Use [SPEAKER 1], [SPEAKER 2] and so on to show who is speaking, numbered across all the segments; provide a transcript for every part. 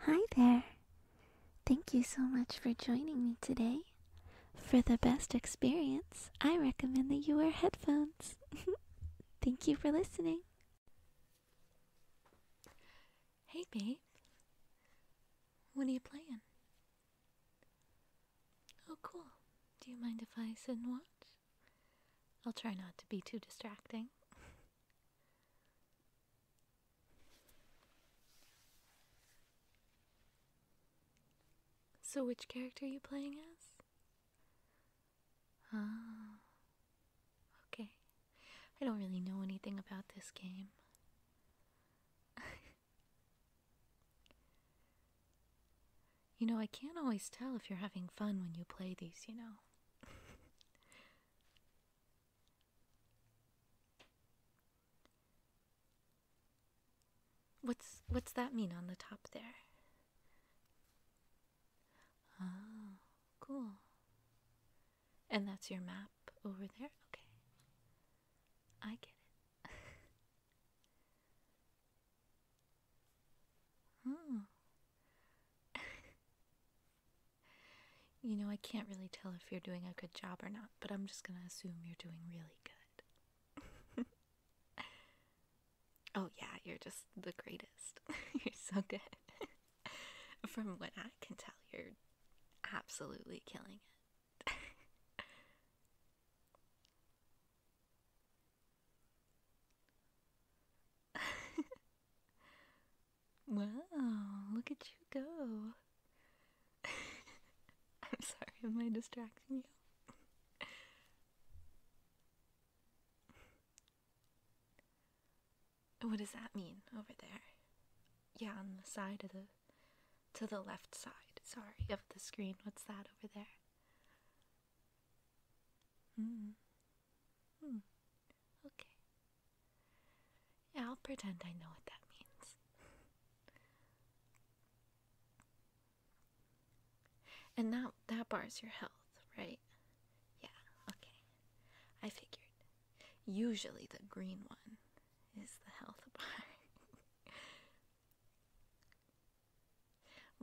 [SPEAKER 1] Hi there. Thank you so much for joining me today. For the best experience, I recommend that you wear headphones. Thank you for listening. Hey, babe. What are you playing? Oh, cool. Do you mind if I sit and watch? I'll try not to be too distracting. So, which character are you playing as? Ah, okay. I don't really know anything about this game. you know, I can't always tell if you're having fun when you play these, you know. What's what's that mean on the top there? Oh, cool. And that's your map over there? Okay. I get it. oh. You know, I can't really tell if you're doing a good job or not, but I'm just gonna assume you're doing really good. oh, yeah, you're just the greatest. you're so good. From what I can tell, you're absolutely killing it. Wow, look at you go. I'm sorry, am I distracting you? what does that mean over there? Yeah, on the side of the to the left side, sorry, of the screen. What's that over there? Hmm. Hmm. Okay. Yeah, I'll pretend I know what that means. and that that bars your health, right? Yeah, okay. I figured. Usually the green one is the health bar.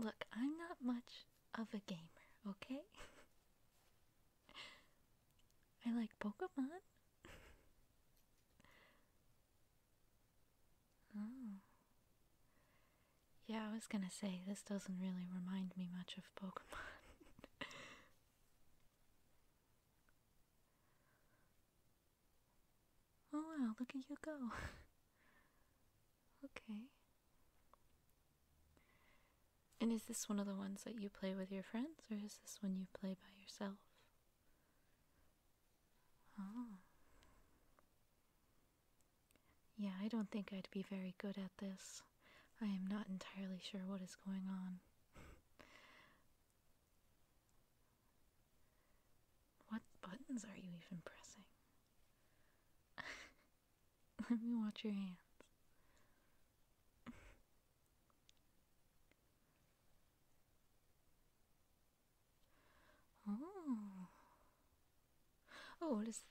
[SPEAKER 1] Look, I'm not much of a gamer, okay? I like Pokemon. oh. Yeah, I was gonna say, this doesn't really remind me much of Pokemon. oh wow, look at you go! okay. And is this one of the ones that you play with your friends, or is this one you play by yourself? Oh. Yeah, I don't think I'd be very good at this. I am not entirely sure what is going on. what buttons are you even pressing? Let me watch your hands. oh. Oh, what is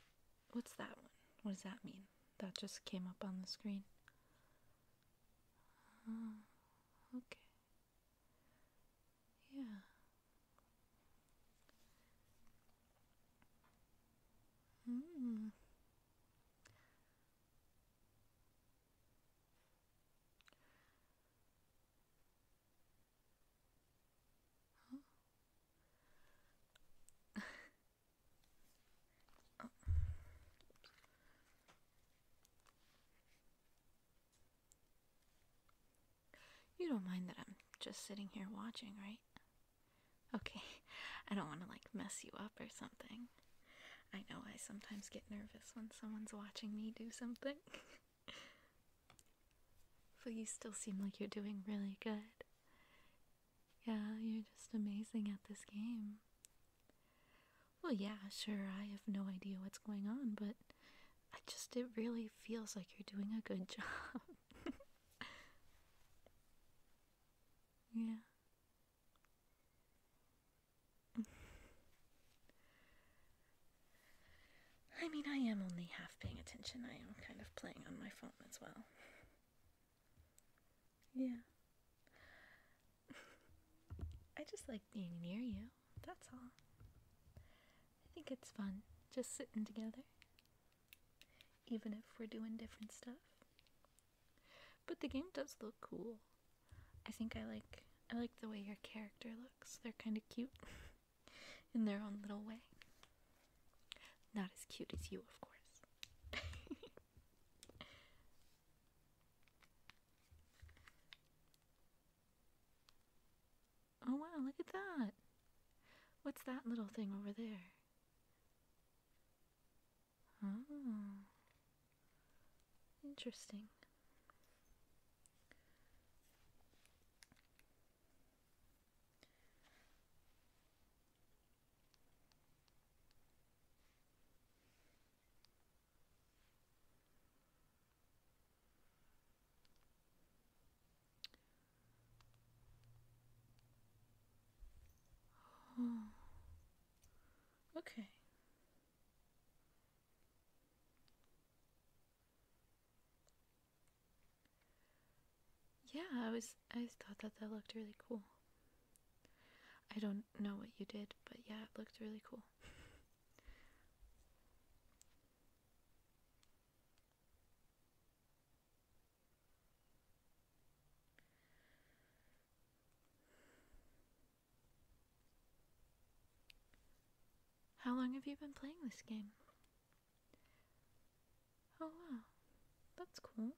[SPEAKER 1] what's that one? What does that mean? That just came up on the screen. Uh, okay. Yeah. Mm. You don't mind that I'm just sitting here watching, right? Okay, I don't want to like mess you up or something. I know I sometimes get nervous when someone's watching me do something. but you still seem like you're doing really good. Yeah, you're just amazing at this game. Well, yeah, sure, I have no idea what's going on, but I just, it really feels like you're doing a good job. Yeah. I mean, I am only half paying attention. I am kind of playing on my phone as well. Yeah. I just like being near you, that's all. I think it's fun just sitting together even if we're doing different stuff. But the game does look cool. I think I like I like the way your character looks. They're kind of cute in their own little way. Not as cute as you, of course. oh wow, look at that. What's that little thing over there? Oh. Interesting. Okay. Yeah, I was I thought that that looked really cool. I don't know what you did, but yeah, it looked really cool. How long have you been playing this game? Oh wow, that's cool.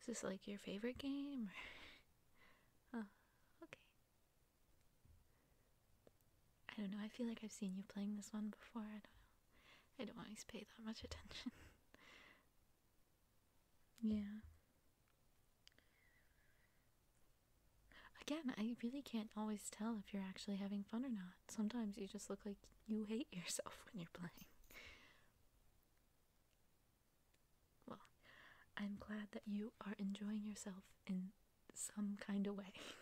[SPEAKER 1] Is this like your favorite game? oh, okay. I don't know, I feel like I've seen you playing this one before, I don't know. I don't always pay that much attention. yeah. Again, I really can't always tell if you're actually having fun or not. Sometimes you just look like you hate yourself when you're playing. Well, I'm glad that you are enjoying yourself in some kind of way.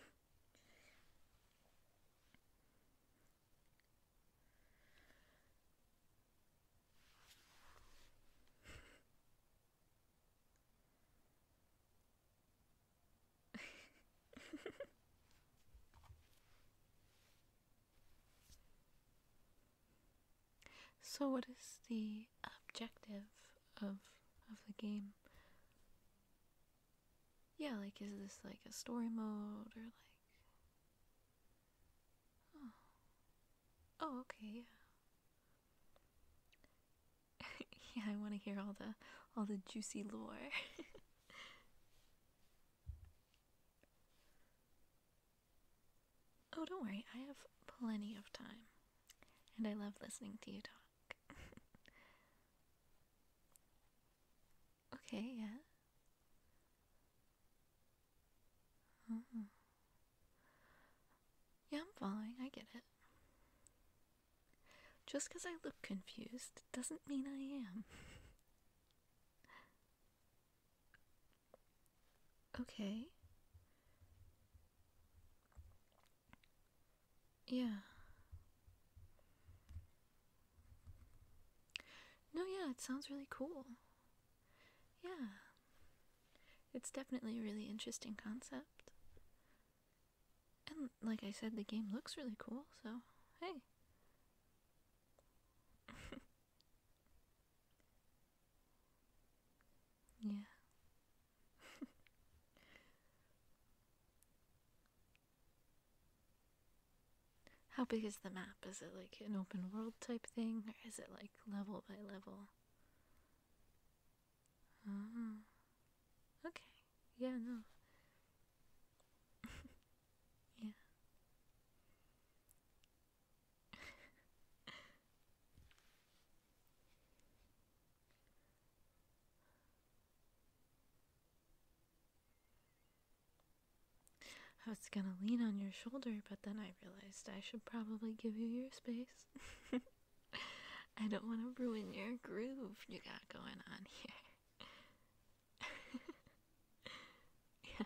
[SPEAKER 1] so what is the objective of of the game? yeah, like, is this like a story mode or like. Oh. okay, yeah. yeah, I want to hear all the all the juicy lore. oh, don't worry. I have plenty of time. And I love listening to you talk. Okay, yeah. Mm-hmm. Yeah, I'm falling. I get it. Just because I look confused doesn't mean I am. okay. Yeah. No, yeah, it sounds really cool. Yeah. It's definitely a really interesting concept. And like I said, the game looks really cool, so hey. yeah. How big is the map? Is it like an open world type thing, or is it like level by level? Oh. Okay. Yeah, no. yeah. I was gonna lean on your shoulder, but then I realized I should probably give you your space. I don't want to ruin your groove you got going on here. yeah.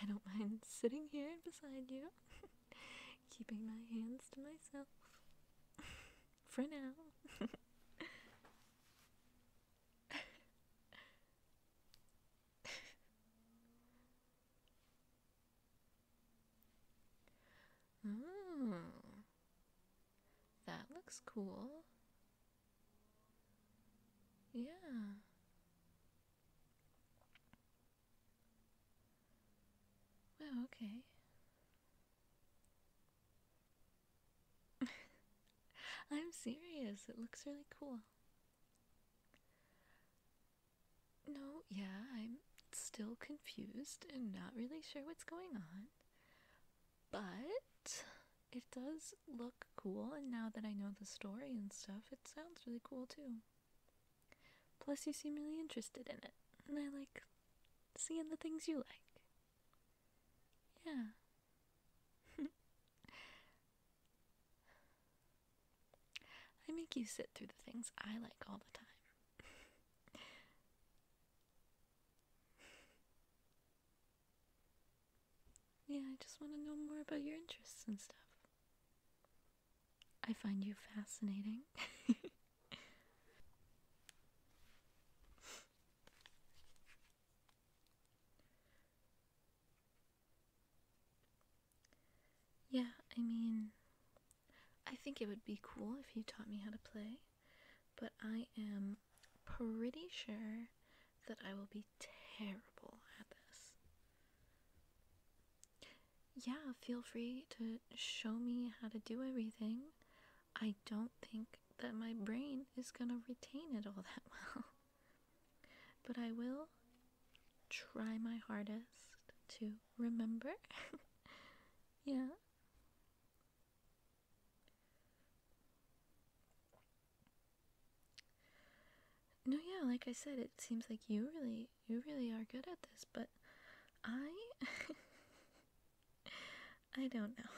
[SPEAKER 1] I don't mind sitting here beside you, keeping my hands to myself for now. mm, that looks cool. Yeah. Wow, okay. I'm serious, it looks really cool. No, yeah, I'm still confused and not really sure what's going on. But it does look cool, and now that I know the story and stuff, it sounds really cool too. Plus, you seem really interested in it, and I like seeing the things you like. Yeah. I make you sit through the things I like all the time. yeah, I just want to know more about your interests and stuff. I find you fascinating. yeah, I mean, I think it would be cool if you taught me how to play, but I am pretty sure that I will be terrible at this. Yeah, feel free to show me how to do everything. I don't think that my brain is going to retain it all that well. But I will try my hardest to remember. yeah. No, yeah, like I said, it seems like you really you really are good at this, but I I don't know.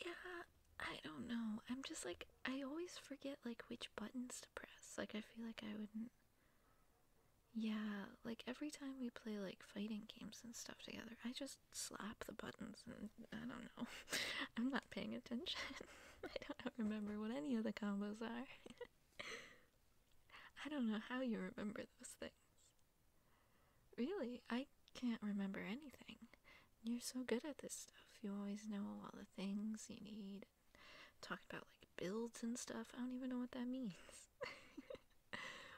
[SPEAKER 1] yeah, I don't know. I'm just like I always forget like which buttons to press. Like I feel like I wouldn't yeah, like every time we play like fighting games and stuff together, I just slap the buttons and I don't know. I'm not paying attention. I don't remember what any of the combos are. I don't know how you remember those things. Really, I can't remember anything. You're so good at this stuff. You always know all the things you need. Talked about like builds and stuff. I don't even know what that means.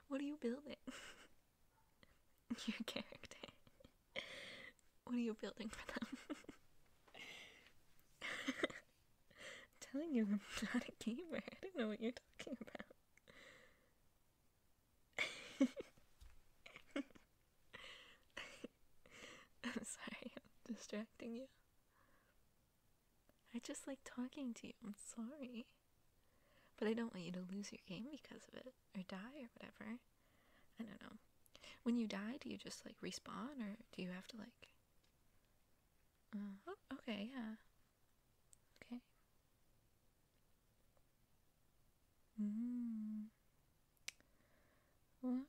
[SPEAKER 1] what are you building? Your character. what are you building for them? I'm telling you, I'm not a gamer. I don't know what you're talking about. I'm sorry, I'm distracting you. I just like talking to you. I'm sorry. But I don't want you to lose your game because of it or die or whatever. I don't know. When you die, do you just like respawn or do you have to like. oh, okay, yeah. Okay. Mm. Wow.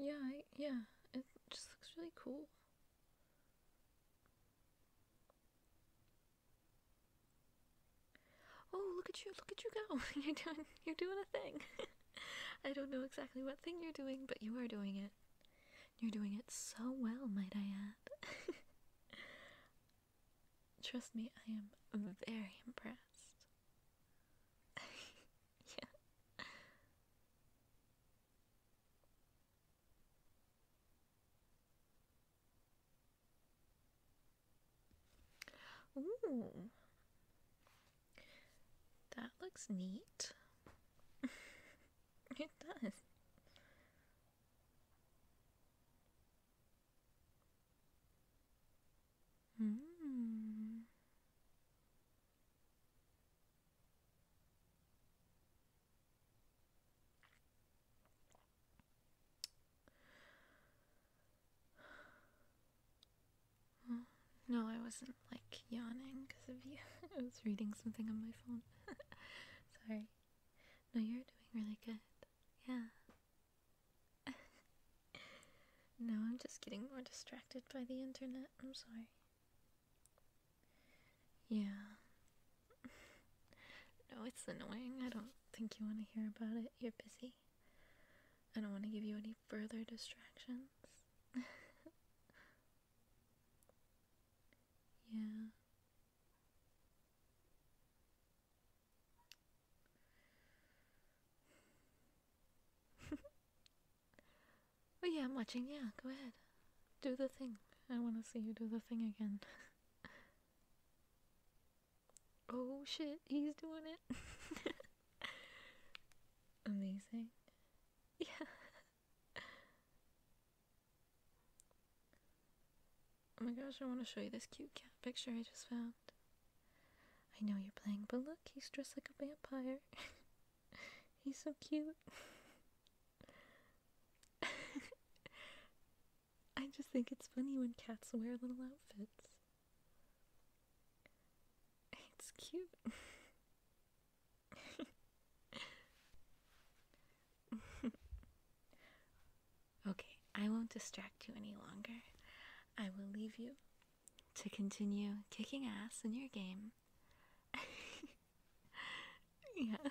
[SPEAKER 1] Yeah, yeah, yeah. It just looks really cool. Oh, look at you, look at you go. you're doing you're doing a thing. I don't know exactly what thing you're doing, but you are doing it. You're doing it so well, might I add. Trust me, I am very impressed. yeah. That looks neat. it does. Hmm. no, I wasn't like yawning because of you. I was reading something on my phone. Sorry. No, you're doing really good. Yeah. no, I'm just getting more distracted by the internet. I'm sorry. Yeah. no, it's annoying. I don't think you want to hear about it. You're busy. I don't want to give you any further distractions. yeah. Oh yeah, I'm watching. Yeah, go ahead. Do the thing. I want to see you do the thing again. oh shit, he's doing it. Amazing. Yeah. Oh my gosh, I want to show you this cute cat picture I just found. I know you're playing, but look, he's dressed like a vampire. He's so cute. I just think it's funny when cats wear little outfits. It's cute. okay, I won't distract you any longer. I will leave you to continue kicking ass in your game. yeah.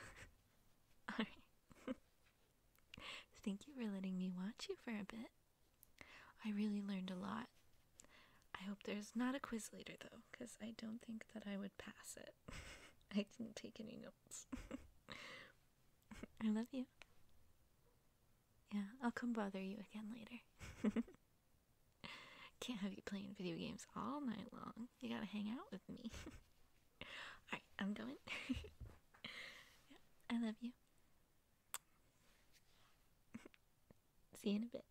[SPEAKER 1] Alright. Thank you for letting me watch you for a bit. I really learned a lot. I hope there's not a quiz later though, because I don't think that I would pass it. I didn't take any notes. I love you. Yeah, I'll come bother you again later. Can't have you playing video games all night long. You gotta hang out with me. Alright, I'm going. I love you. See you in a bit.